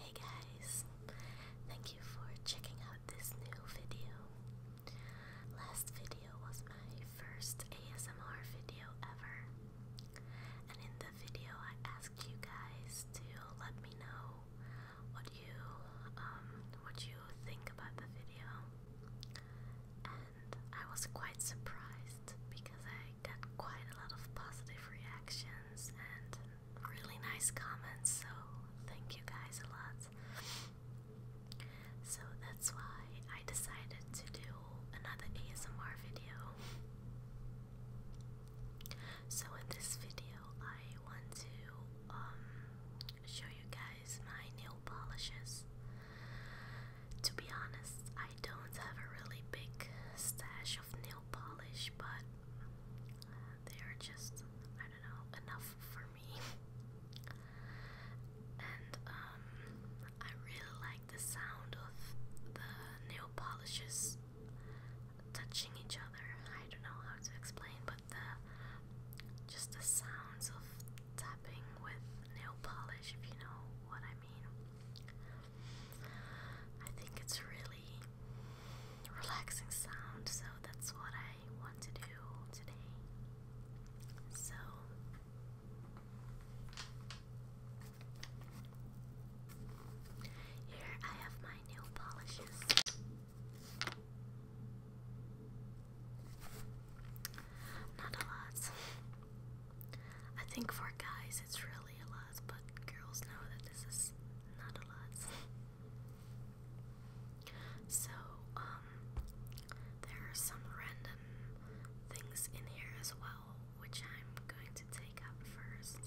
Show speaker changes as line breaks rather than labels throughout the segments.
Hey guys, thank you for checking out this new video. Last video was my first ASMR video ever, and in the video I asked you guys to let me know what you um, what you think about the video, and I was quite surprised because I got quite a lot of positive reactions and really nice comments, so thank you guys a lot. So that's why I decided to do another ASMR video. So in this video, I want to um, show you guys my nail polishes. To be honest, I don't have a really big stash nail polish, but they are just, I don't know, enough for me. and um, I really like the sound of the nail polishes touching each other. I don't know how to explain, but the just the sounds of tapping with nail polish, if you know what I mean. I think it's really relaxing sound, so that's what I want to do today. So here I have my nail polishes. Not a lot. I think for guys it's really a lot, but girls know that this is not a lot. so, um, there are some random things in here as well, which I'm going to take up first.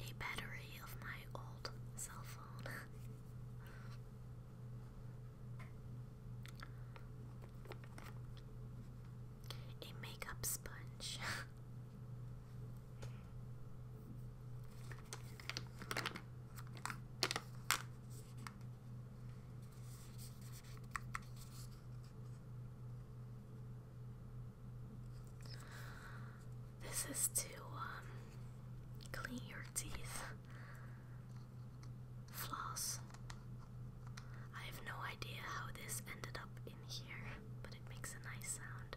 A battery of my old cell phone. A makeup sponge. This is to um, clean your teeth floss. I have no idea how this ended up in here, but it makes a nice sound.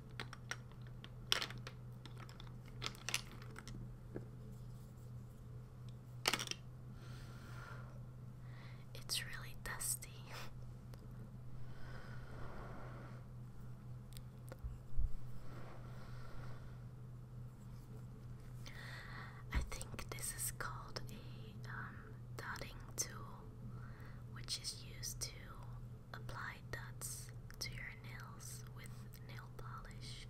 It's really dusty. I think this is called a um, dotting tool, which is used to Apply dots to your nails with nail polish.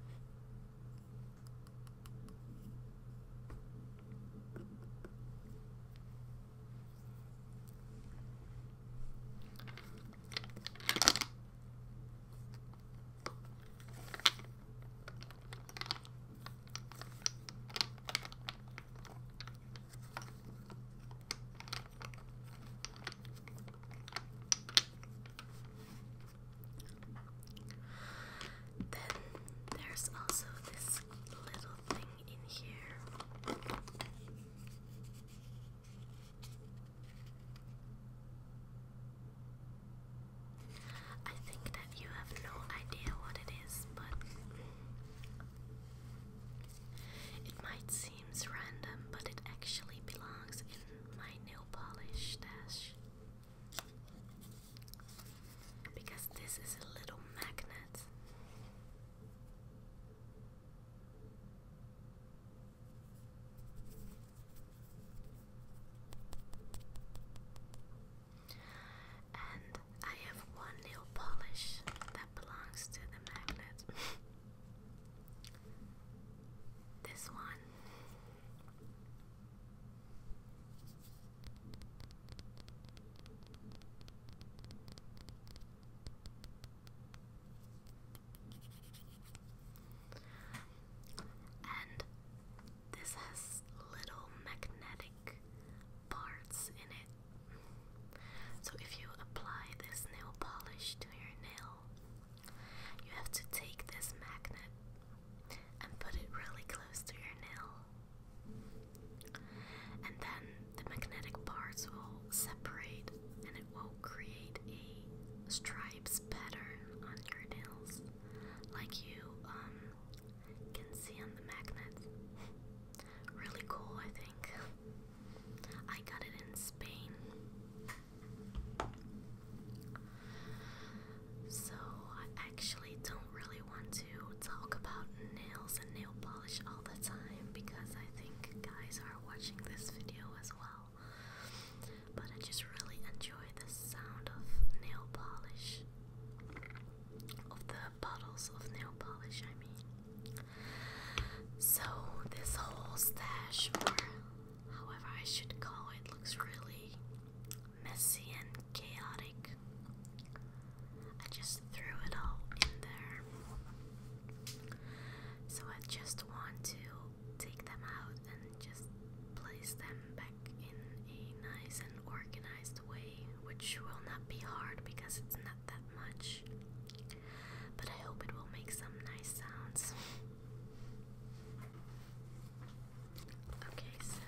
Then there's also this little thing in here. I think that you have no idea what it is, but it might seem seems random, but it actually belongs in my nail polish dash Because this is a little magnet. And I have one nail polish belongs to the magnet. this one. And this has little magnetic parts in it. So if you apply this nail polish to your nail, you have to take this magnet and put it really close to your nail. And then the magnetic parts will separate and it will create a stripes pattern on your nails like you um, can see on the magnet. really cool I think. I got it in Spain. So, I actually don't really want to talk about nails and nail polish all the time because I think guys are watching this video as well. But I just really enjoy the sound of nail polish, bottles of nail polish, I mean. So, this whole stash, or however I should call it, looks really messy and chaotic. I just threw it all in there. So, I just want to take them out and just place them back in a nice and organized way, which will not be hard because it's not that much. But I hope it will make some nice sounds. okay, so.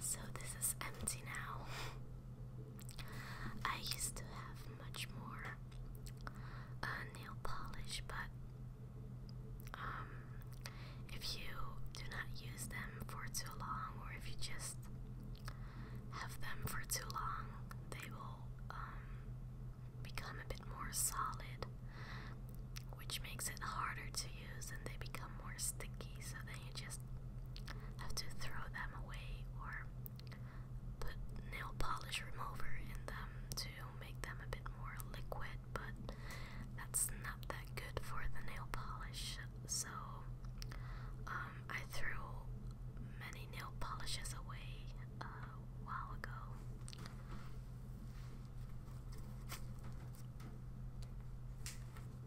So this is empty now. I used to have much more uh, nail polish, but um, if you do not use them for too long, or if you just have them for too long, they will um, become a bit more solid, which makes it harder to and they become more sticky, so then you just have to throw them away or put nail polish remover in them to make them a bit more liquid, but that's not that good for the nail polish. So um, I threw many nail polishes away uh, a while ago.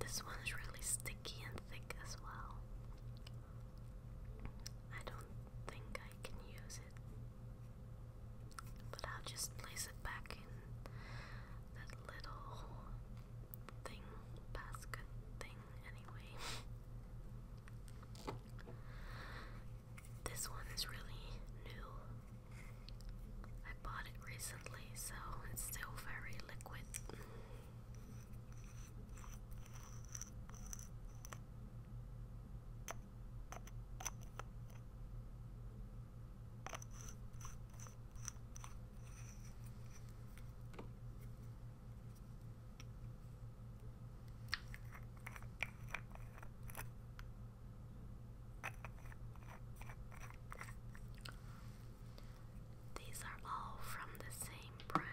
This one is really sticky and thick as well. I don't think I can use it, but I'll just place it back in that little thing, basket thing anyway. This one is really new. I bought it recently, so it's still very liquid. These are all from the same brand.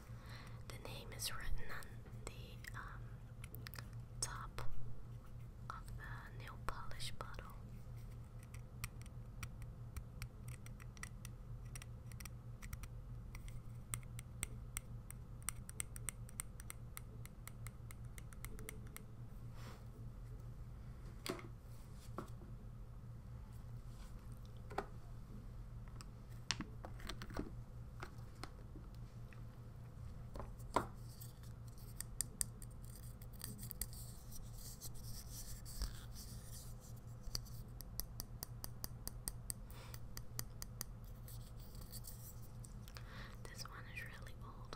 The name is written on the um, top of the nail polish bottle. This one is really old.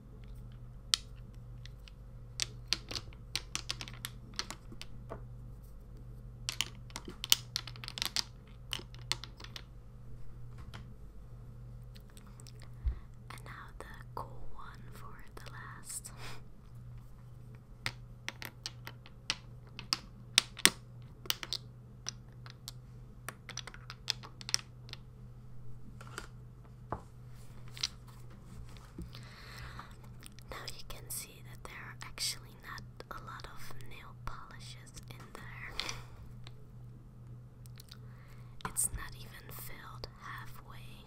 And now the cool one for the last. Now you can see that there are actually not a lot of nail polishes in there. It's not even filled halfway.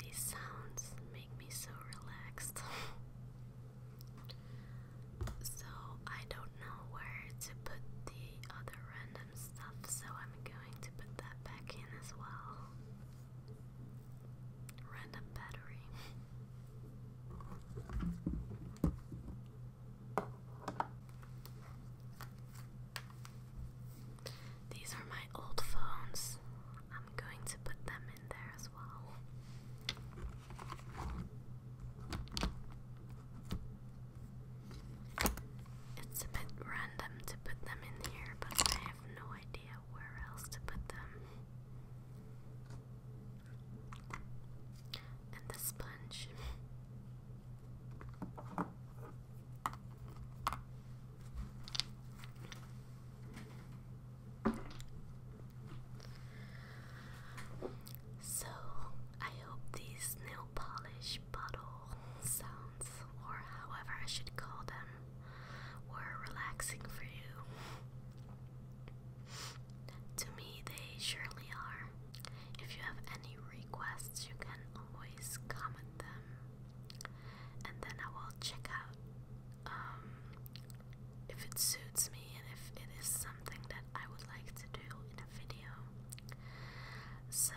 These sounds make me so relaxed. so I don't know where to put the other random stuff, so I'm going to put that back in as well. Random battery. These are my old phones. I'm going to put them in there as well. It's a bit random to put them in here, but I have no idea where else to put them. And the sponge. So, I hope these nail polish bottle sounds, or however I should call them, were relaxing for you. To me, they surely are. If you have any requests, you can always comment them and then I will check out um, if it suits me and if it is something that I would like to do in a video. So,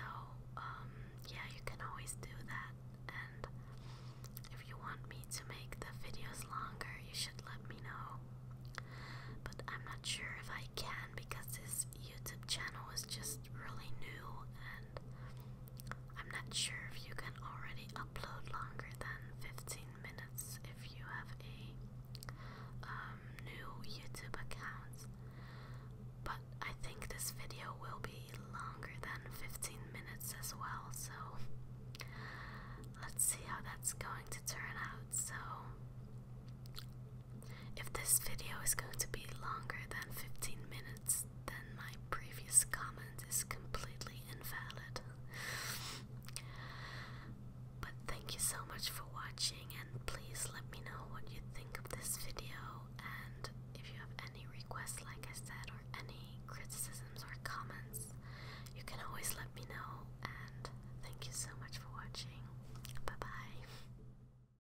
um, yeah, you can always do that. And if you want me to make the videos longer, you should let me know. But I'm not sure if I can because this YouTube channel is just really new, and I'm not sure if you can already upload longer than 15 minutes if you have a um, new YouTube account. But I think this video will be longer than 15 minutes as well, so let's see how that's going to turn out. So, if this video is going to be longer than 15 minutes, then my previous comment is completely invalid. but thank you so much for watching, and please let me know what you think of this video. And if you have any requests, like I said, or any criticisms or comments, you can always let me know. And thank you so much for watching. Bye bye.